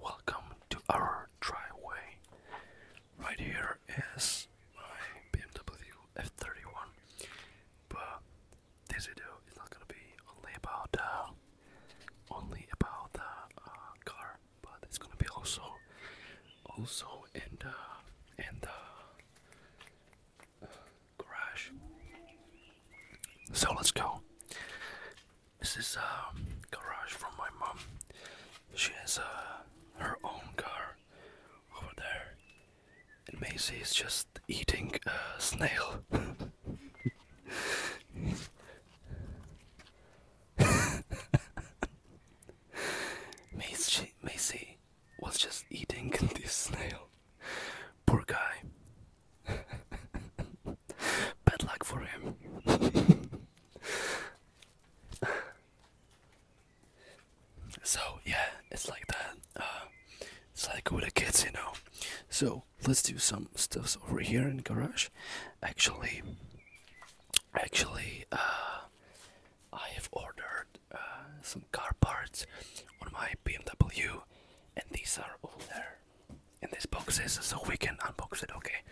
Welcome to our driveway. Right here is my BMW F31, but this video is not gonna be only about the only about the uh, car, but it's gonna be also also in the in the uh, garage. So let's go. This is a uh, garage from my mom. She has uh, her own car over there. And Macy is just eating a snail. Macy was just eating this snail. Poor guy. Bad luck for him. so yeah, it's like that. Uh, it's like with the kids, you know. So let's do some stuffs over here in garage. Actually, actually, uh, I have ordered uh, some car parts on my BMW, and these are all there in these boxes so we can unbox it. Okay,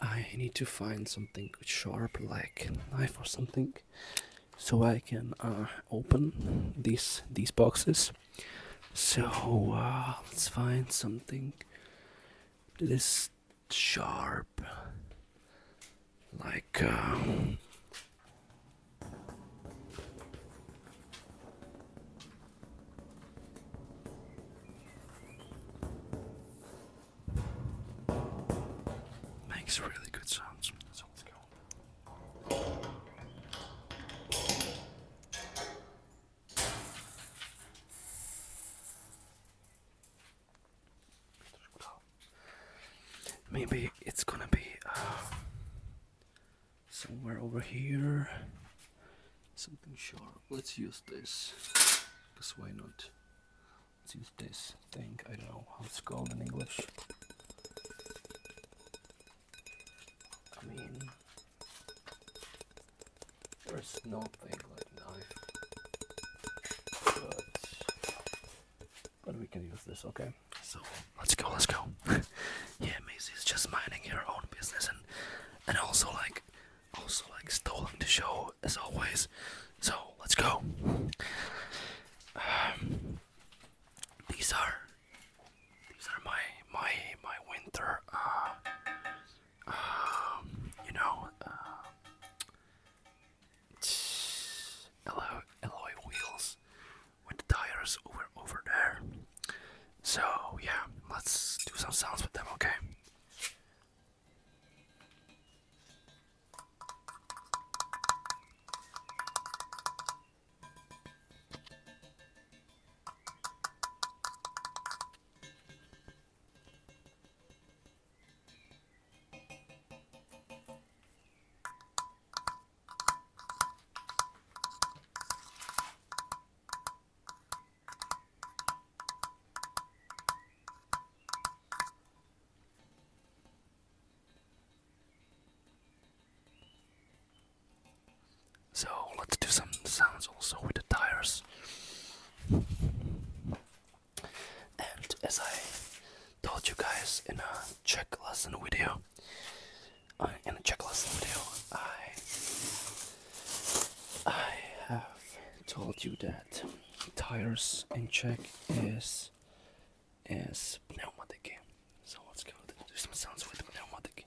I need to find something sharp like a knife or something so I can uh, open these these boxes. So uh, let's find something that is sharp, like. Um, Makes really good sounds. Maybe it's gonna be uh, somewhere over here something sharp let's use this because why not let's use this thing I don't know how it's called in English I mean there's nothing like knife but, but we can use this okay so let's go let's go yeah Macy is just minding her own business and and also like also like stolen the show as always. So let's go. Um, these are these are my my my winter uh um, you know uh um, alloy, alloy wheels with the tires over over there so yeah, let's do some sounds with them, okay? So let's do some sounds also with the tires. And as I told you guys in a check lesson video, uh, in a check lesson video, I I have told you that tires in check is is pneumatic. So let's go do some sounds with pneumatic.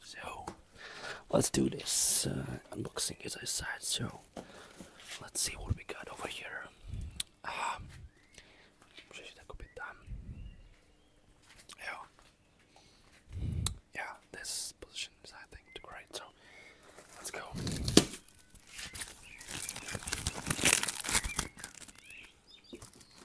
So let's do this uh, unboxing as I said. So let's see what we got over here. Um, yeah, yeah. This position is, I think, too great. So let's go.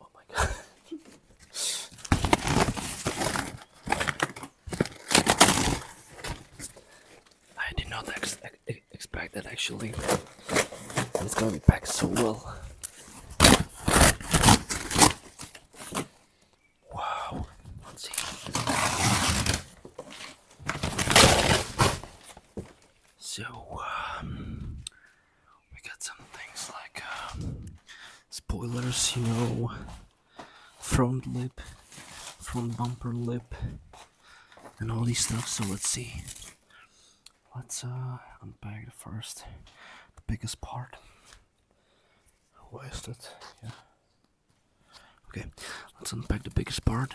Oh my god. I did not expect that actually. It's gonna be packed so well. Wow. Let's see. So, um, we got some things like um, spoilers, you know, front lip, front bumper lip, and all these stuff. So let's see. Let's uh, unpack the first, the biggest part. Wasted, yeah. Okay, let's unpack the biggest part.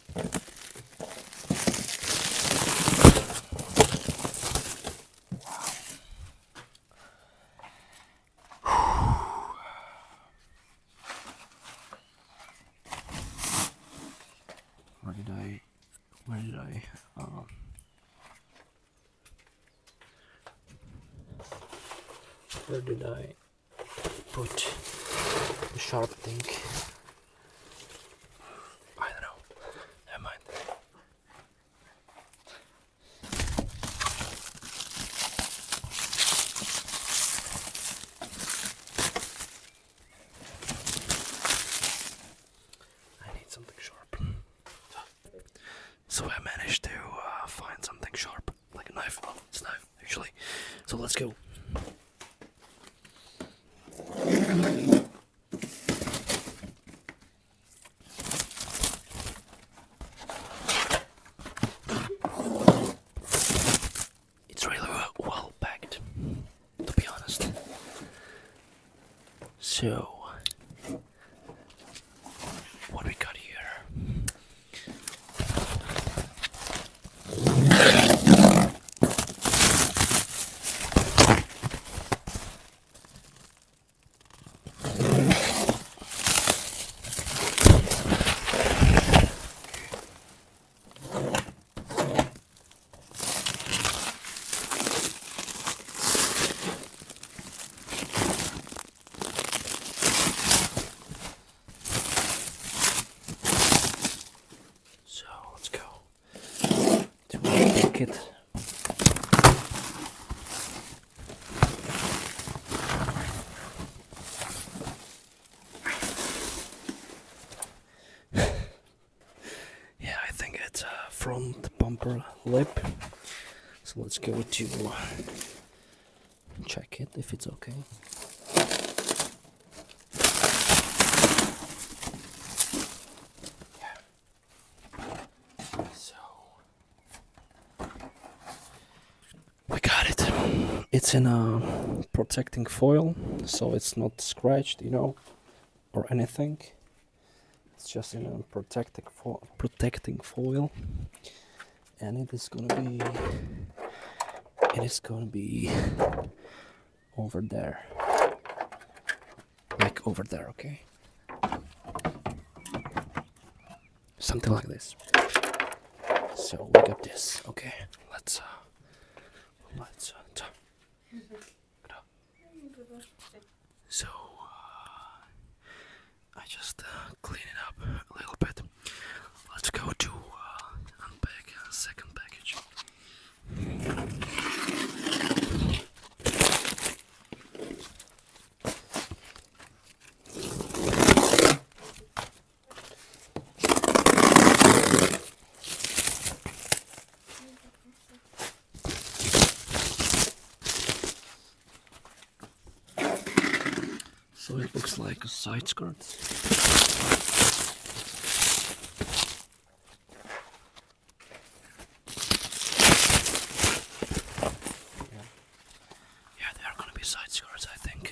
Where did I, where did I, um, where did I put the sharp thing? I don't know. Never mind. I need something sharp. So I managed to uh, find something sharp, like a knife. It's a knife, actually. So let's go. It's really well packed, to be honest. So, what we got here? So let's go to my pocket. yeah, I think it's a front bumper lip. So let's go to check it if it's okay. So we got it. It's in a protecting foil, so it's not scratched, you know, or anything. It's just in a protecting fo protecting foil, and it is gonna be. It is gonna be over there. Like over there, okay? Something like this. So we got this, okay? Let's uh, let's uh, so uh, I just uh, clean it up a little bit. Let's go to uh, unpack a second package. So it looks like a side skirt. Yeah, there are gonna be side scores, I think.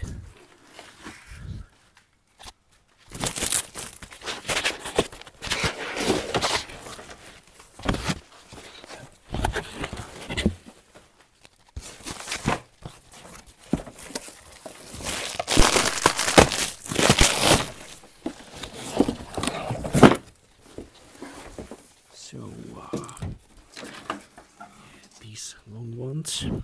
So uh, these long ones. I'm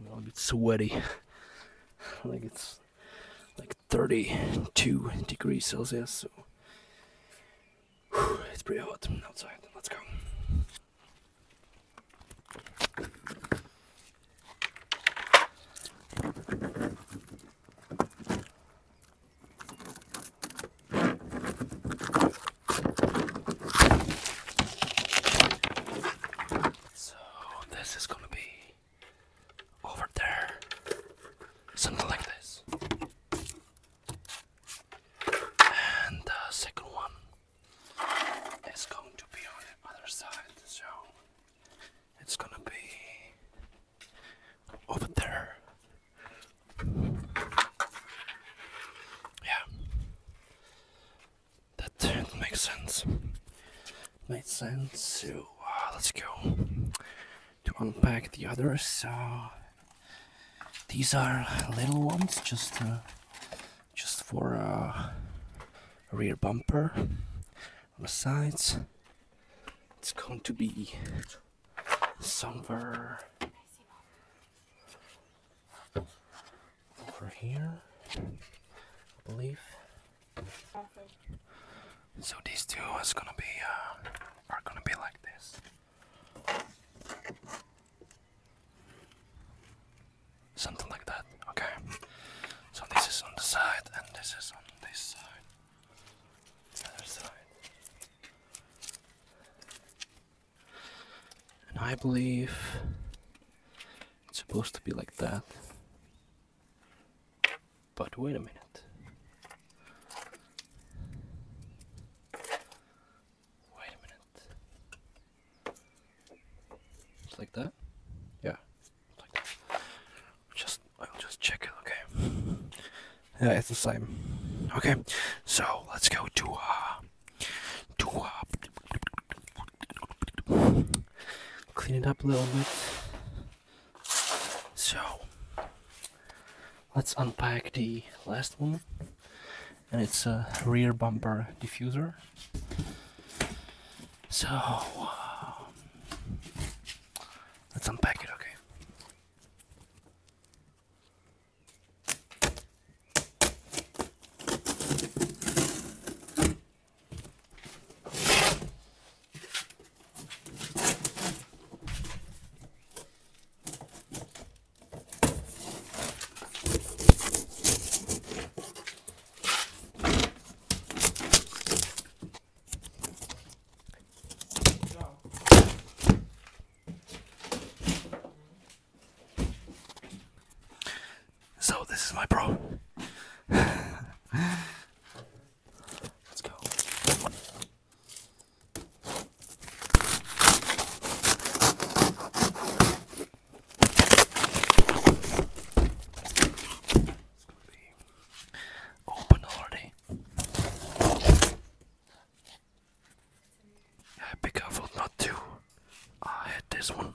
a little bit sweaty. like it's like 32 degrees Celsius, so it's pretty hot outside. Let's go. So this is gonna be over there, something like this, and the second one is going to be on the other side, so it's gonna be over there. Yeah, that didn't make sense. Made sense, so uh, let's go to unpack the others. So uh, these are little ones, just. Uh, just for a uh, rear bumper on the sides. It's going to be somewhere over here, I believe. So these two is gonna be uh, are gonna be like this. Something like that, okay? So this is on the side, and this is on this side. other side. And I believe it's supposed to be like that. But wait a minute. Wait a minute. Just like that? Yeah. Like that. Just I'll just check it, okay? Yeah, it's the same. Okay, so let's go to uh to uh clean it up a little bit. So let's unpack the last one and it's a rear bumper diffuser so um, let's unpack it okay so this is my bro. Let's go. It's gonna be open already. Yeah, be careful not to uh, ah, hit this one.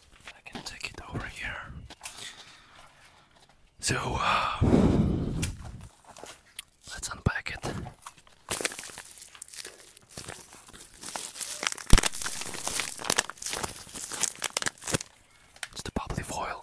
I can take it over here. So uh, let's unpack it. It's the bubbly foil.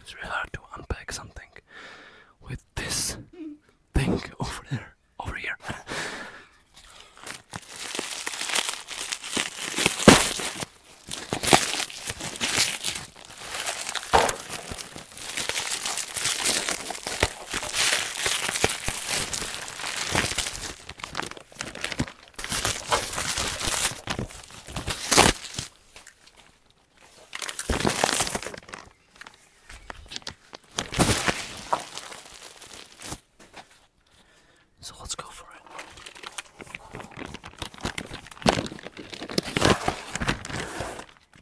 It's really hard to unpack something with this thing over there, over here. So let's go for it.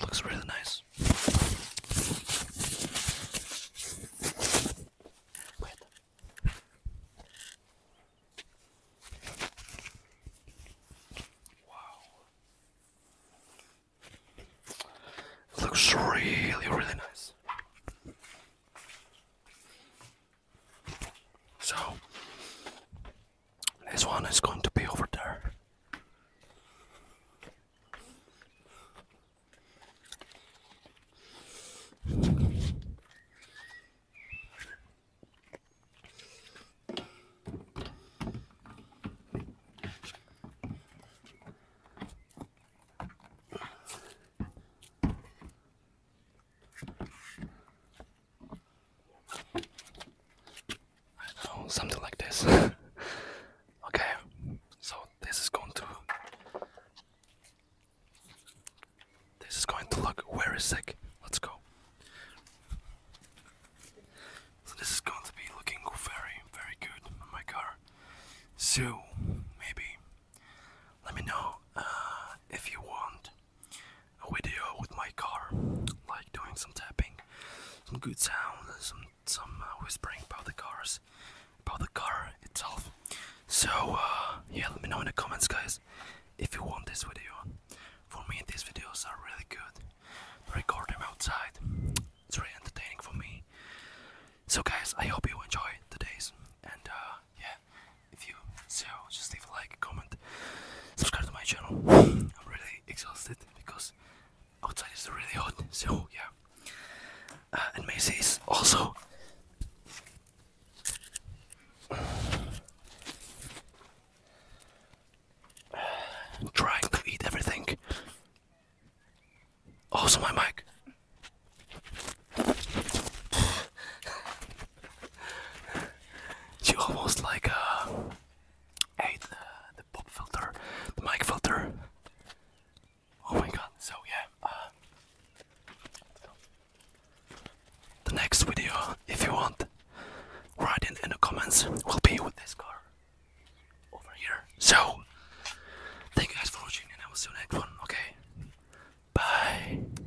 Looks really nice. Wow. looks really, really nice. So this one is going to be over there. I oh, something like this. okay, so this is going to this is going to look very sick. Let's go. So this is going to be looking very, very good on my car. So maybe let me know uh, if you want a video with my car, like doing some tapping, some good sound, some some uh, whispering about the cars, about the car itself. So uh, yeah, let me know in the comments, guys, if you want this video. For me, these videos are really good. record them outside. It's really entertaining for me. So guys, I hope you enjoy today's and uh, yeah if you so just leave a like, comment, subscribe to my channel. I'm really exhausted because outside is really hot. So yeah, uh, and Macy is also. Trying to eat everything. Also, my mic she almost like uh, ate the, pop filter, the mic filter. Oh my god, so yeah. Uh, the next video, if you want, write it in the comments, will be with this car over here. So, thank you guys for watching, and I will see you next one, okay? Bye!